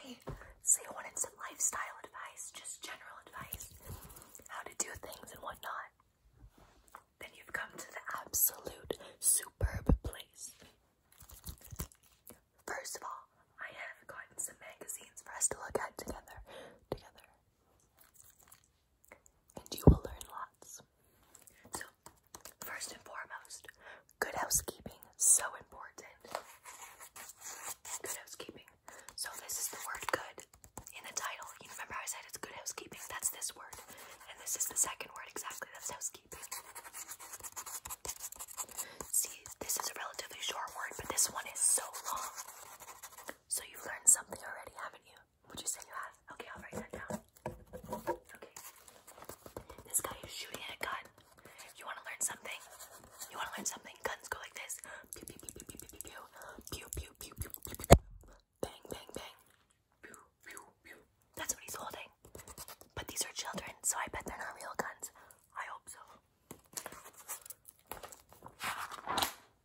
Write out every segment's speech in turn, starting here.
Hey, so you wanted some lifestyle advice, just general advice, how to do things and whatnot. Then you've come to the absolute superb place. First of all, I have gotten some magazines for us to look at together, together. And you will learn lots. So, first and foremost, Good housekeeping, so important. Good housekeeping. So this is the word good in the title. You remember I said it's good housekeeping? That's this word. And this is the second word exactly. That's housekeeping. See, this is a relatively short word, but this one is so long. So you've learned something already, haven't you? Would you say you have? Okay, I'll write that down. Okay. This guy is shooting a guy fun. You want to learn something? You want to learn something? Guns go like this. Pew, pew, pew, pew, pew, pew, pew, pew, pew, pew, pew, pew. Bang, bang, bang. Pew, pew, pew. That's what he's holding. But these are children, so I bet they're not real guns. I hope so.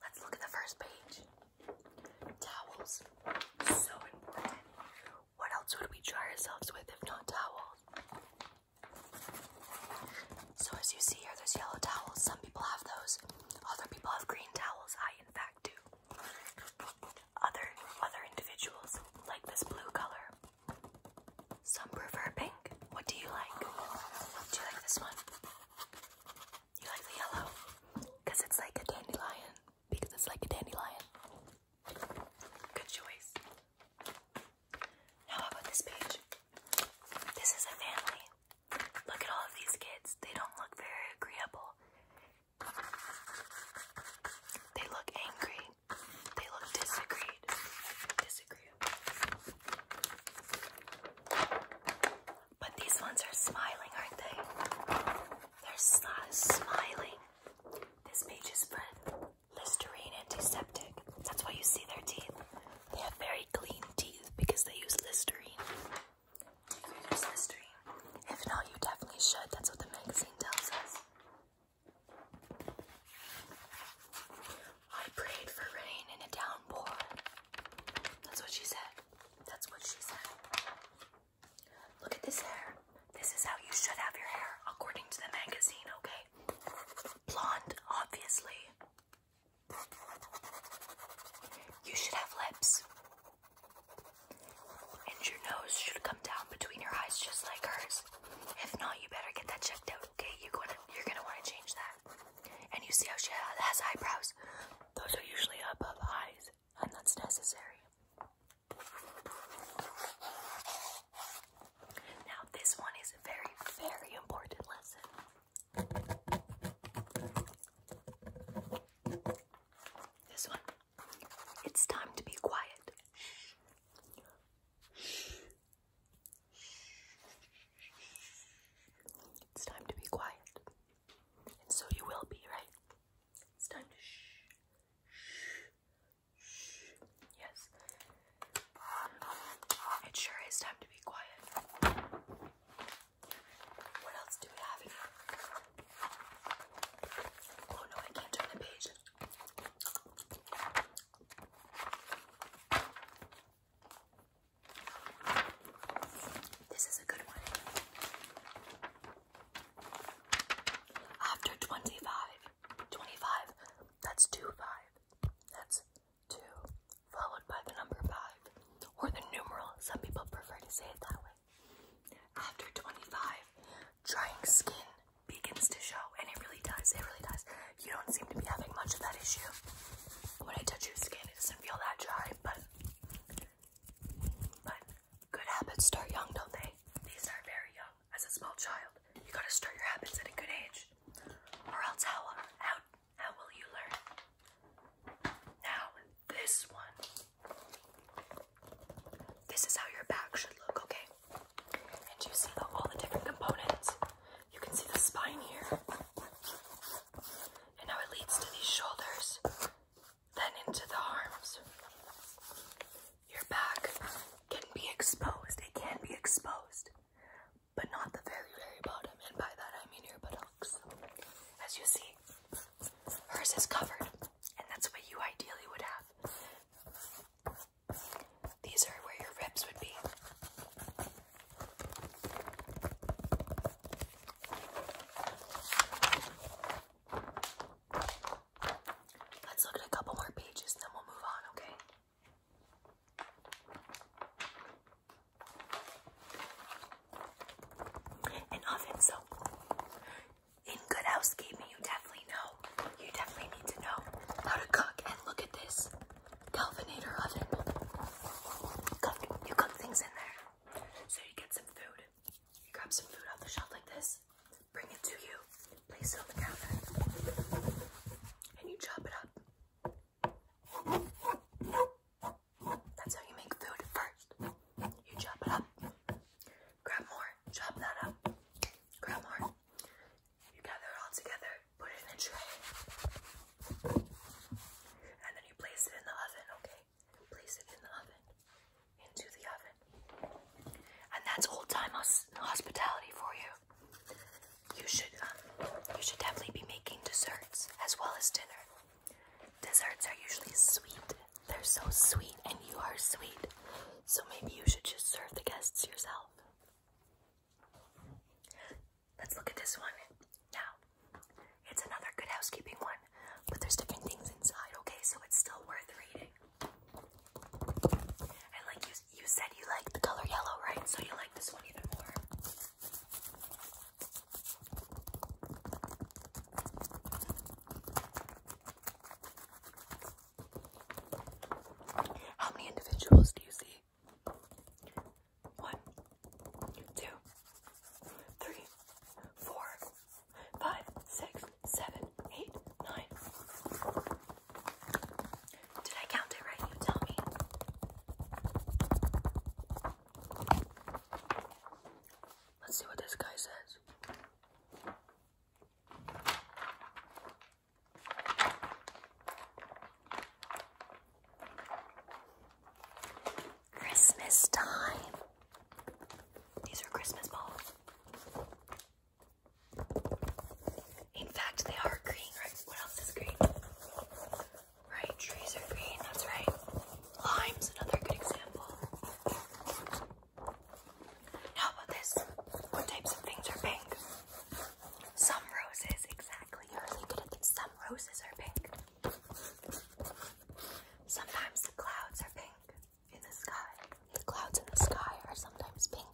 Let's look at the first page. Towels. So important. What else would we dry ourselves with if not towels? So as you see here, there's yellow towels. Some people have those. Other people have green towels. I, in fact, do. Other other individuals like this blue color. Some prefer pink. What do you like? Do you like this one? You like the yellow? Because it's like a dandelion. Because it's like a dandelion. Good choice. Now, about this page? This is a family. Look at all of these kids. They don't look very agreeable. They look angry. They look disagreed. Disagreeable. But these ones are smiling, aren't they? They're smiling. This page is for Listerine antiseptic. That's why you see their teeth. They have very clean teeth because they use Listerine. Do you use Listerine? If not, you definitely should. That's what the magazine tells us. I prayed for rain in a downpour. That's what she said. That's what she said. Look at this hair. This is how you should have your hair, according to the magazine, okay? Blonde, obviously. You should have lips. And your nose should come down between your eyes just like hers. If not, you better get that checked out, okay? You're gonna you're gonna want to change that. And you see how she has eyebrows. Those are usually above eyes and that's necessary. Now, this one is a very, very important lesson. This one. It's time to be quiet. It's time to be quiet. And so you will be, right? It's time to shh, shh, shh. Yes, it sure is time to be quiet. What else do we have here? Oh no, I can't turn the page. This is a good one. After 25, 25, that's 2 5. That's 2 followed by the number 5 or the numeral. Some people prefer to say it that way. After 25, drying skin begins to show, and it really does. It really does. You don't seem to be having much of that issue. When I touch your skin, it doesn't feel that dry, but but Good habits start young, don't they? They start very young, as a small child. You gotta start your habits at a good age, or else how will you learn? Now this one. This is how your back should look, okay? And you see all the different components. You can see the spine here, and now it leads to these shoulders then into the arms. Your back can be exposed. It can be exposed, but not the very, very bottom. And by that, I mean your buttocks. As you see, hers is covered, and that's what you ideally would have. These are where your ribs would be. Let's look at a couple more pages then we'll move on, okay? An oven, so in good housekeeping, you definitely know. You definitely need to know how to cook. And look at this Galvanator oven. you cook things in there. So you get some food. You grab some food off the shelf like this, bring it to you, place it in the cabinet. and you chop it up. That's how you make food first. You chop it up, grab more, chop that up, grab more. You gather it all together, put it in a tray, and then you place it in the oven, okay? And place it in the oven, into the oven. And that's old time hospitality for you. You should, um, you should definitely be making desserts as well as dinner. Desserts are usually sweet. They're so sweet, and you are sweet. So maybe you should just serve the guests yourself. Let's look at this one now. It's another good housekeeping one, but there's different things inside, okay? So it's still worth reading. And like you, you said you like the color yellow, right? So you like this one even more. How many individuals do you see? One, two, three, four, five, six, seven, eight, nine. Did I count it right? You tell me. Let's see what this guy says. Christmas time. These are Christmas balls. In fact, they are green, right? What else is green? Right, trees are green, that's right. Lime's another good example. How about this? What types of things are pink? Some roses, exactly. You're really good at this. Some roses are pink. Sometimes the clouds are pink in the sky. The clouds in the sky are sometimes pink.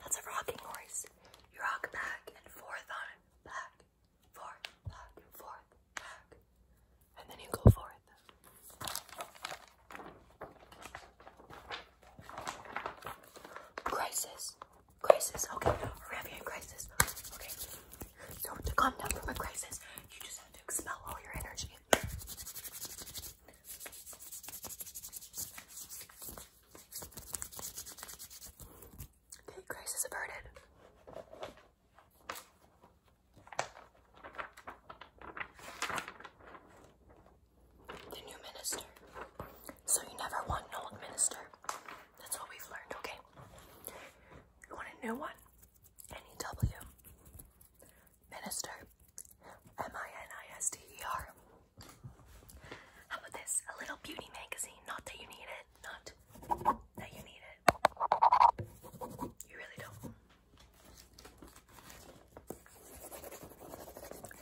That's a rocking horse. You rock back and forth on it. Back, forth, back, forth, back, and then you go for it. Crisis, crisis. Okay, we're having a crisis. Okay, so to calm down from a crisis, you just have to expel all your energy. Okay, crisis averted. The new minister. So you never want an old minister. That's what we've learned, okay? You want a new one? N-E-W. Minister. M-I-N-I-S-T-E-R. How about this? A little beauty magazine. Not that you need it. Not that you need it it. You really don't.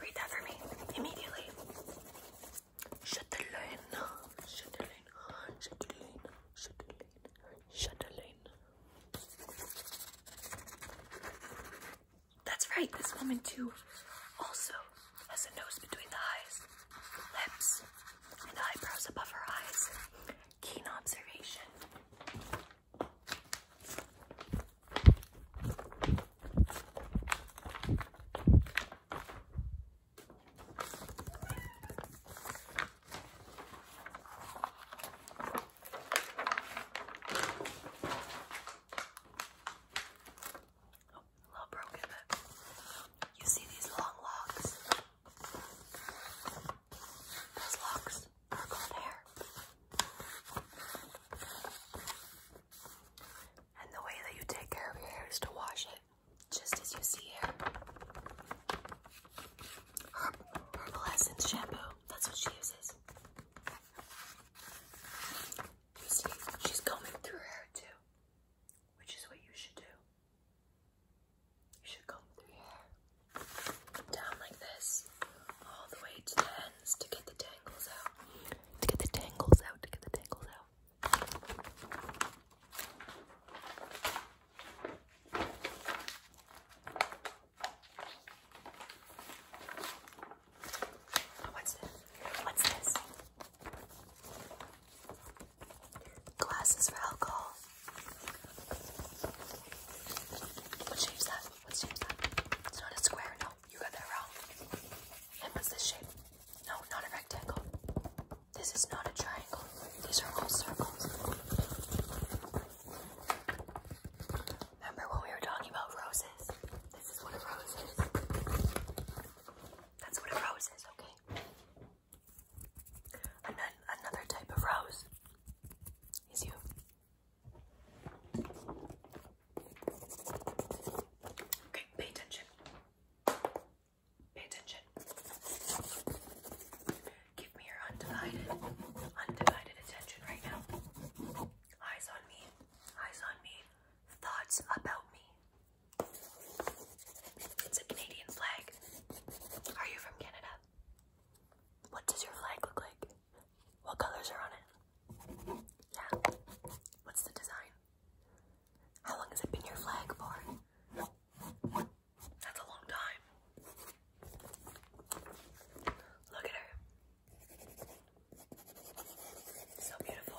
Read that for me immediately. Chatelaine, Chatelaine, Chatelaine, Chatelaine, Chatelaine. That's right, this woman too also has a nose between the eyes, lips, and eyebrows above her eyes keen observation. Oh, a little broken, you see these long logs? Those locks are hair. And the way that you take care of your hair is to wash it just as you see here. Her Essence shampoo, that's what she uses. You see, she's combing through her hair too, which is what you should do. You should come through here, down like this, all the way to the ends to get the tangles out. To get the tangles out, to get the tangles out. Oh, what's this? What's this? Glasses for alcohol. What shape is that? What shape is that? It's not a square, no. You got that wrong. And what's this shape? No, not a rectangle. This is not a triangle. These are all circles. Remember when we were talking about roses? This is what a rose That's what a rose okay? another type of rose is you. Okay, pay attention. Pay attention. Give me your undivided, undivided attention right now. Eyes on me. Eyes on me. Thoughts about me. It's a Canadian flag. Are you from Canada? What does your flag look like? What colors are on it? Yeah. What's the design? How long has it been your flag for? That's a long time. Look at her. So beautiful.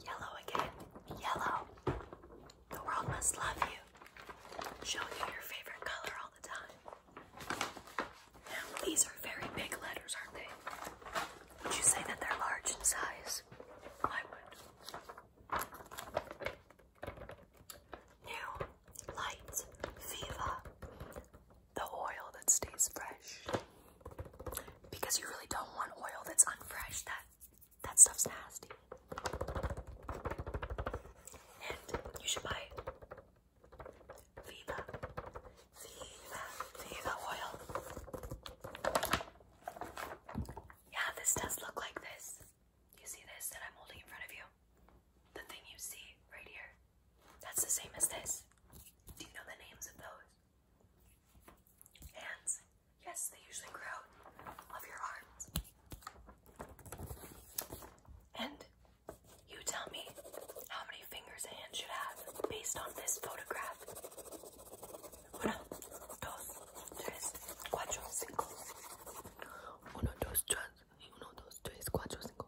Yellow again. Yellow. The world must love you. Show you your favorite color all the time these are very big letters, aren't they? Would you say that they're large in size? I would. Now, light, Viva, the oil that stays fresh. Because you really don't want oil that's unfresh. That that stuff's nasty. And you should buy Viva, Viva, Viva oil. Yeah, this does look like this. You see this that I'm holding in front of you? The thing you see right here. That's the same as this. Do you know the names of those? Hands. Yes, they usually grow of your arms. And you tell me how many fingers a hand should have based on this photograph. Una, dos, tres, cuatro, cinco. Uno, dos, tres, uno, dos, tres, cuatro, cinco.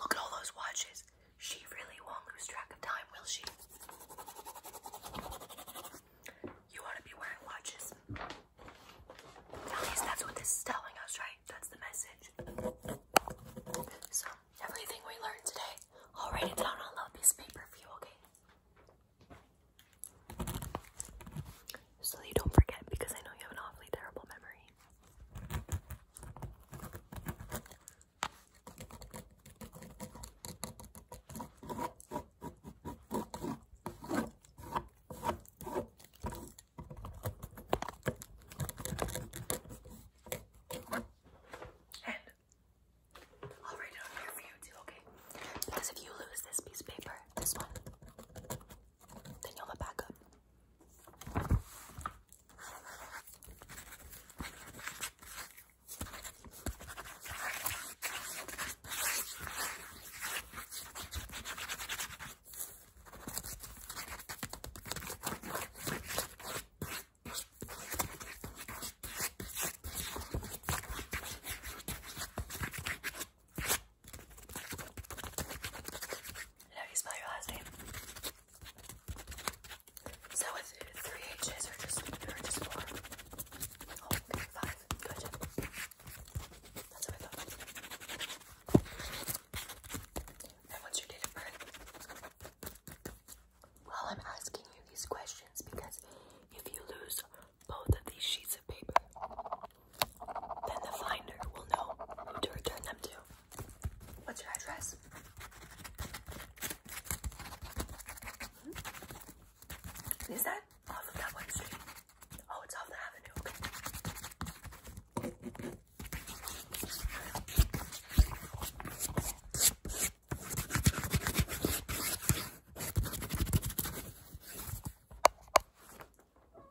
look at all those watches. She really won't lose track of time, will she? You want to be wearing watches that's what this is telling us, right? That's the message. So, everything we learned today, I'll write it down on a piece of paper for you, okay? So that you don't forget, because I know you have an awfully terrible memory. And I'll write it on here for you too, okay? Because if you lose this piece of paper, this one, then you'll have a backup. How do you spell your last name? Is with three H's or just, or just four? Oh, okay, five. Gotcha. I And what's your date of I'm asking you these questions because if you lose both of these sheets of paper, then the finder will know to return them to. What's your address? Hmm? Is that off of that one street? Oh, it's off the avenue.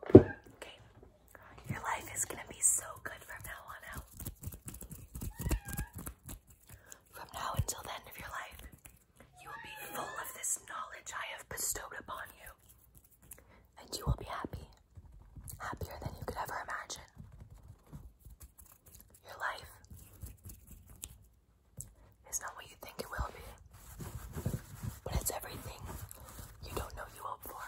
Okay. Your life is gonna be so good from now on out. From now until the end of your life, you will be full of this knowledge I have bestowed upon you, and you will be happy, happier than you could ever imagine. Your life is not what you think it will be, but it's everything you don't know you hope for.